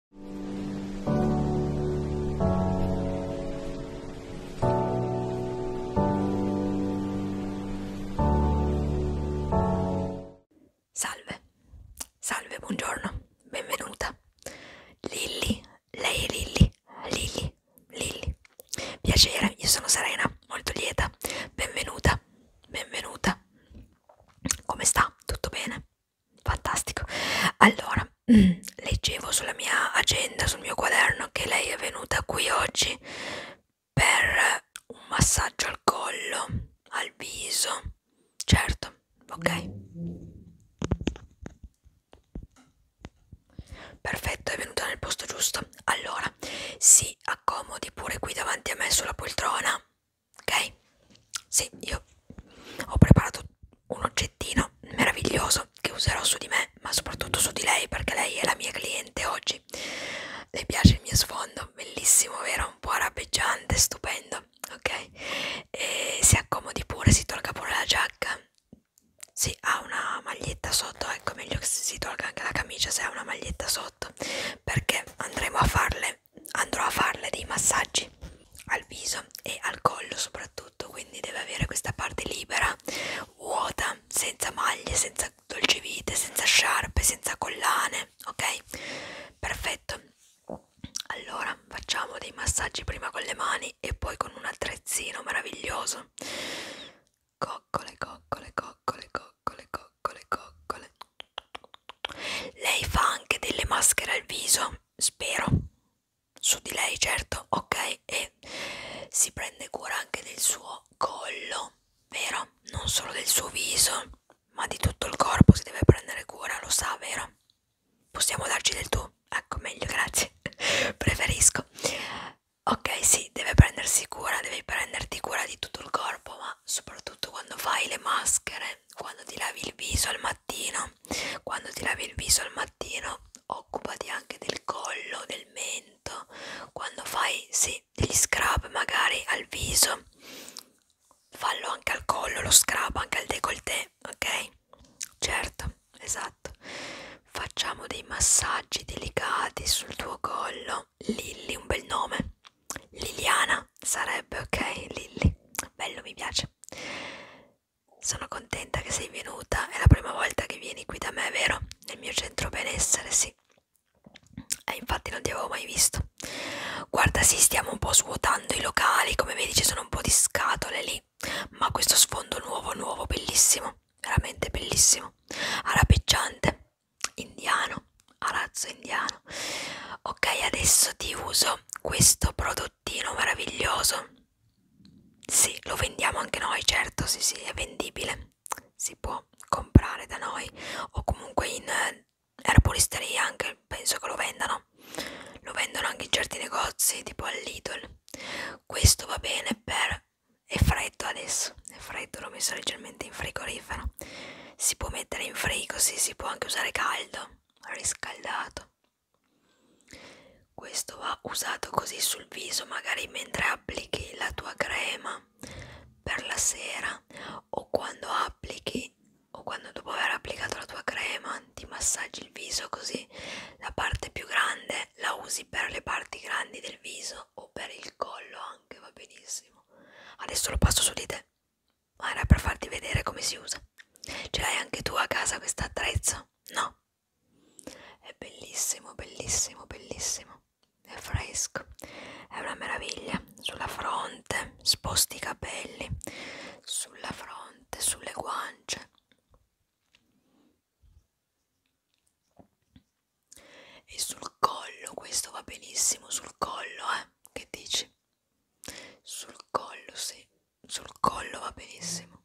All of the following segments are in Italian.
Salve, salve, buongiorno, benvenuta. Lilli, lei è Lilli, Lilli, Lilli. Piacere, io sono Serena, molto lieta. Benvenuta, benvenuta. Come sta? Tutto bene? fantastico allora mm, leggevo sulla mia agenda sul mio quaderno che lei è venuta qui oggi per un massaggio al collo al viso certo ok perfetto è venuta nel posto giusto allora si accomodi pure qui davanti a me sulla poltrona ok? Sì, io ho preparato un oggettino meraviglioso che userò su di me, ma soprattutto su di lei perché lei è la mia cliente oggi. Le piace il mio sfondo, bellissimo, vero? Un po' arabeggiante, stupendo, ok? E si accomodi pure, si tolga pure la giacca. Sì, ha una maglietta sotto, ecco meglio che si tolga anche la camicia se ha una maglietta sotto, perché andremo a farle andrò a farle dei massaggi al viso e al collo soprattutto quindi deve avere questa parte libera vuota senza maglie senza dolcevite senza sciarpe senza collane ok perfetto allora facciamo dei massaggi prima con le mani e poi con un attrezzino meraviglioso coccole coccole coccole coccole coccole coccole lei fa anche delle maschere al viso spero su di lei certo ok e si prende cura anche del suo collo vero non solo del suo viso ma di tutto il corpo si deve prendere cura lo sa vero possiamo darci del tu ecco meglio grazie preferisco ok sì deve prendersi cura devi prenderti cura di tutto il corpo ma soprattutto quando fai le maschere quando ti lavi il viso al mattino quando ti lavi il viso al mattino occupati anche del collo del mento quando fai sì degli scrub magari al viso fallo anche al collo lo scrub anche al décolleté ok certo esatto facciamo dei massaggi delicati sul tuo collo Lilly un bel nome Liliana sarebbe ok, Lilly, bello mi piace. Sono contenta che sei venuta, è la prima volta che vieni qui da me, vero? Nel mio centro benessere, sì. E eh, infatti non ti avevo mai visto. Guarda, sì, stiamo un po' svuotando i locali, come vedi ci sono un po' di scatole lì, ma questo sfondo nuovo, nuovo, bellissimo, veramente bellissimo. Arapeggiante, indiano, arazzo indiano mano ok adesso ti uso questo prodottino meraviglioso sì lo vendiamo anche noi certo sì sì è vendibile si può comprare da noi o comunque in eh, erboristeria anche penso che lo vendano lo vendono anche in certi negozi tipo all'idol questo va bene per è freddo adesso è freddo l'ho messo leggermente in frigorifero si può mettere in frigo sì si può anche usare caldo riscaldato questo va usato così sul viso magari mentre applichi la tua crema per la sera o quando applichi o quando dopo aver applicato la tua crema ti massaggi il viso così la parte più grande la usi per le parti grandi del viso o per il collo anche va benissimo adesso lo passo su di te ma era per farti vedere come si usa. Ce l'hai anche tu a casa questo attrezzo? No. È bellissimo, bellissimo, bellissimo. È fresco. È una meraviglia. Sulla fronte, sposti i capelli. Sulla fronte, sulle guance. E sul collo, questo va benissimo sul collo, eh? Che dici? sul collo sì sul collo va benissimo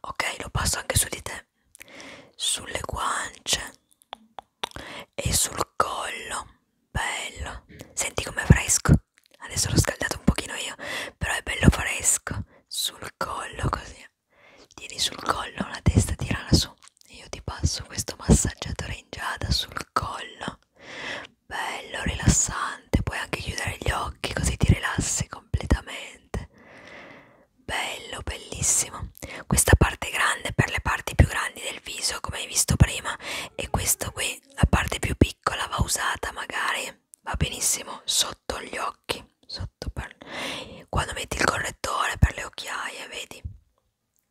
Ok, lo passo anche su di te, sulle guance, e sul collo bello senti com'è fresco adesso l'ho scaldato un pochino io però è bello fresco sul collo così tieni sul collo la testa tirala su e io ti passo questo massaggiatore in giada sul collo bello rilassante puoi anche chiudere gli occhi così ti rilassi completamente bello bellissimo questa parte grande per le parti più grandi del viso come hai visto prima e questa qui la parte più piccola va usata magari va benissimo sotto gli occhi sotto per... quando metti il correttore per le occhiaie vedi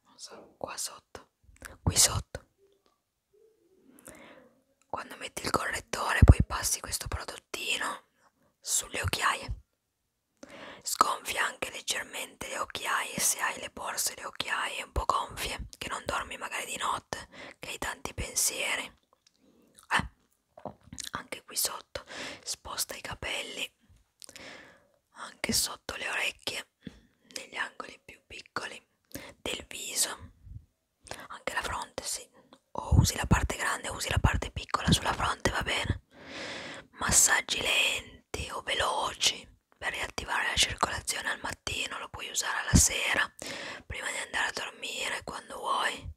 non so, qua sotto qui sotto quando metti il correttore poi passi questo prodottino sulle occhiaie Sgonfia anche leggermente le occhiaie se hai le borse le occhiaie un po' gonfie, che non dormi magari di notte, che hai tanti pensieri. Eh, anche qui sotto, sposta i capelli, anche sotto le orecchie, negli angoli più piccoli del viso, anche la fronte, sì. O usi la parte grande, o usi la parte piccola sulla fronte, va bene. Massaggi lenti lenti o veloci per riattivare la circolazione al mattino, lo puoi usare alla sera prima di andare a dormire quando vuoi.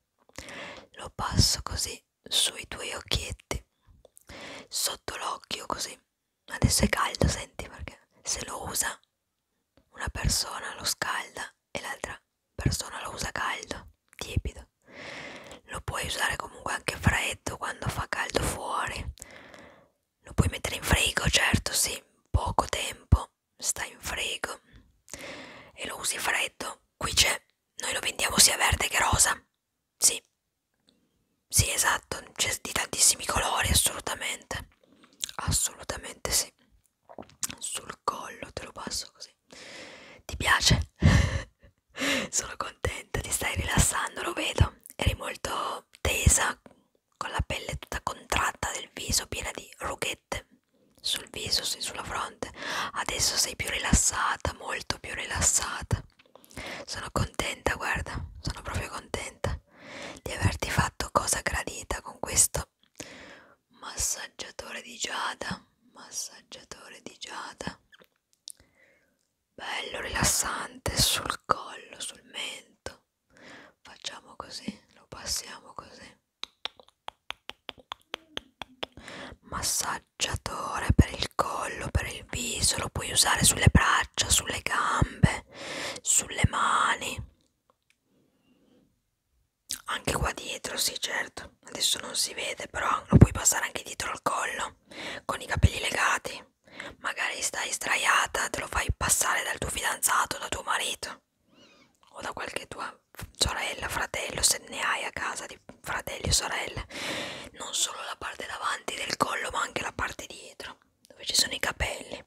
Lo passo così sui tuoi occhietti, sotto l'occhio così. Adesso è caldo, senti perché se lo usa una persona lo scalda e l'altra persona lo usa caldo, tiepido. Lo puoi usare comunque anche freddo quando fa caldo fuori. Lo puoi mettere in frigo, certo, sì, poco tempo, sta in frigo e lo usi freddo. Qui c'è, noi lo vendiamo sia verde che rosa. Sì, sì, esatto, c'è di tantissimi colori, assolutamente. Assolutamente sì. Sul collo te lo passo così. Ti piace? Sono contenta, ti stai rilassando, lo vedo. Eri molto tesa, con la pelle tutta contratta del viso, piena di rughette sul viso, sulla fronte. Adesso sei più rilassata, molto più rilassata. Sono contenta, guarda, sono proprio contenta di averti fatto cosa gradita con questo massaggiatore di giada. Massaggiatore di giada bello rilassante sul collo, sul mento. Facciamo così, lo passiamo così. Massaggiatore per il collo, per il viso, lo puoi usare sulle braccia, sulle gambe, sulle mani. Anche qua dietro, sì, certo. Adesso non si vede, però lo puoi passare anche dietro al collo con i capelli legati così. Magari stai sdraiata, te lo fai passare dal tuo fidanzato, da tuo marito o da qualche tua sorella, fratello, se ne hai a casa di fratelli o sorelle. Non solo la parte davanti del collo, ma anche la parte dietro, dove ci sono i capelli.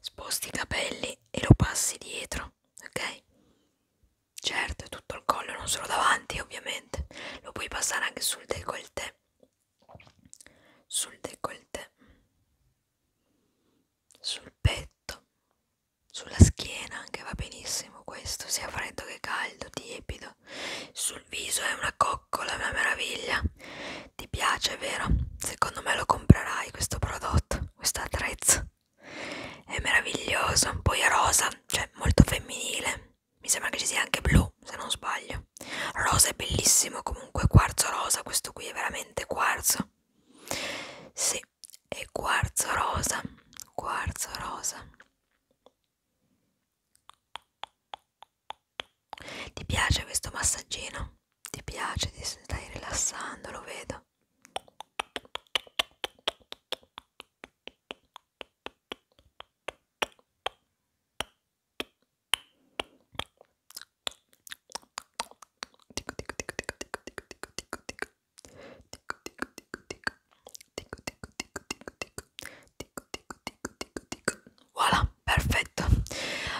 Sposti i capelli e lo passi dietro, ok? Certo, tutto il collo, non solo davanti, ovviamente. Lo puoi passare anche sul décolleté sul décolleté, sul petto, sulla schiena anche va benissimo questo, sia freddo che caldo, tiepido, sul viso è una coccola, una meraviglia, ti piace vero? Secondo me lo comprerai questo prodotto, questo attrezzo, è meraviglioso, poi è rosa, cioè molto femminile mi sembra che ci sia anche blu se non sbaglio rosa è bellissimo comunque quarzo rosa questo qui è veramente quarzo sì è quarzo rosa quarzo rosa ti piace questo massaggino ti piace ti stai rilassando lo vedo Voilà, perfetto.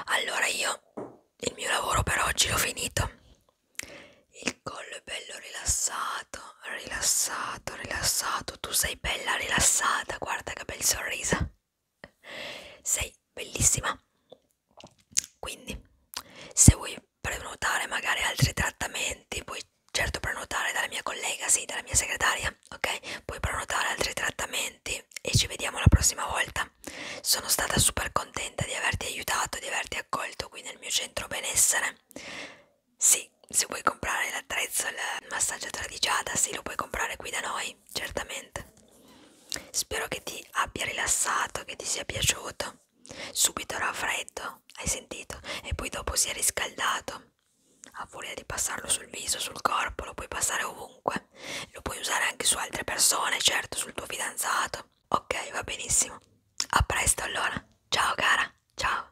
Allora io il mio lavoro per oggi l'ho finito. Il collo è bello rilassato rilassato, rilassato, tu sei bella rilassata, guarda che bel sorriso, sei bellissima. Quindi, se vuoi prenotare magari altri trattamenti, puoi certo prenotare dalla mia collega, sì, dalla mia segretaria, ok? Puoi prenotare altri trattamenti e ci vediamo la prossima volta. Sono stata super contenta di averti aiutato, di averti accolto qui nel mio centro benessere. Sì, se vuoi comprare l'attrezzo, il massaggiatore di Giada, sì, lo puoi comprare qui da noi, certamente. Spero che ti abbia rilassato, che ti sia piaciuto. Subito era freddo, hai sentito? E poi dopo si è riscaldato. A voglia di passarlo sul viso, sul corpo, lo puoi passare ovunque. Lo puoi usare anche su altre persone, certo, sul tuo fidanzato. Ok, va benissimo. A presto allora. Ciao cara, ciao.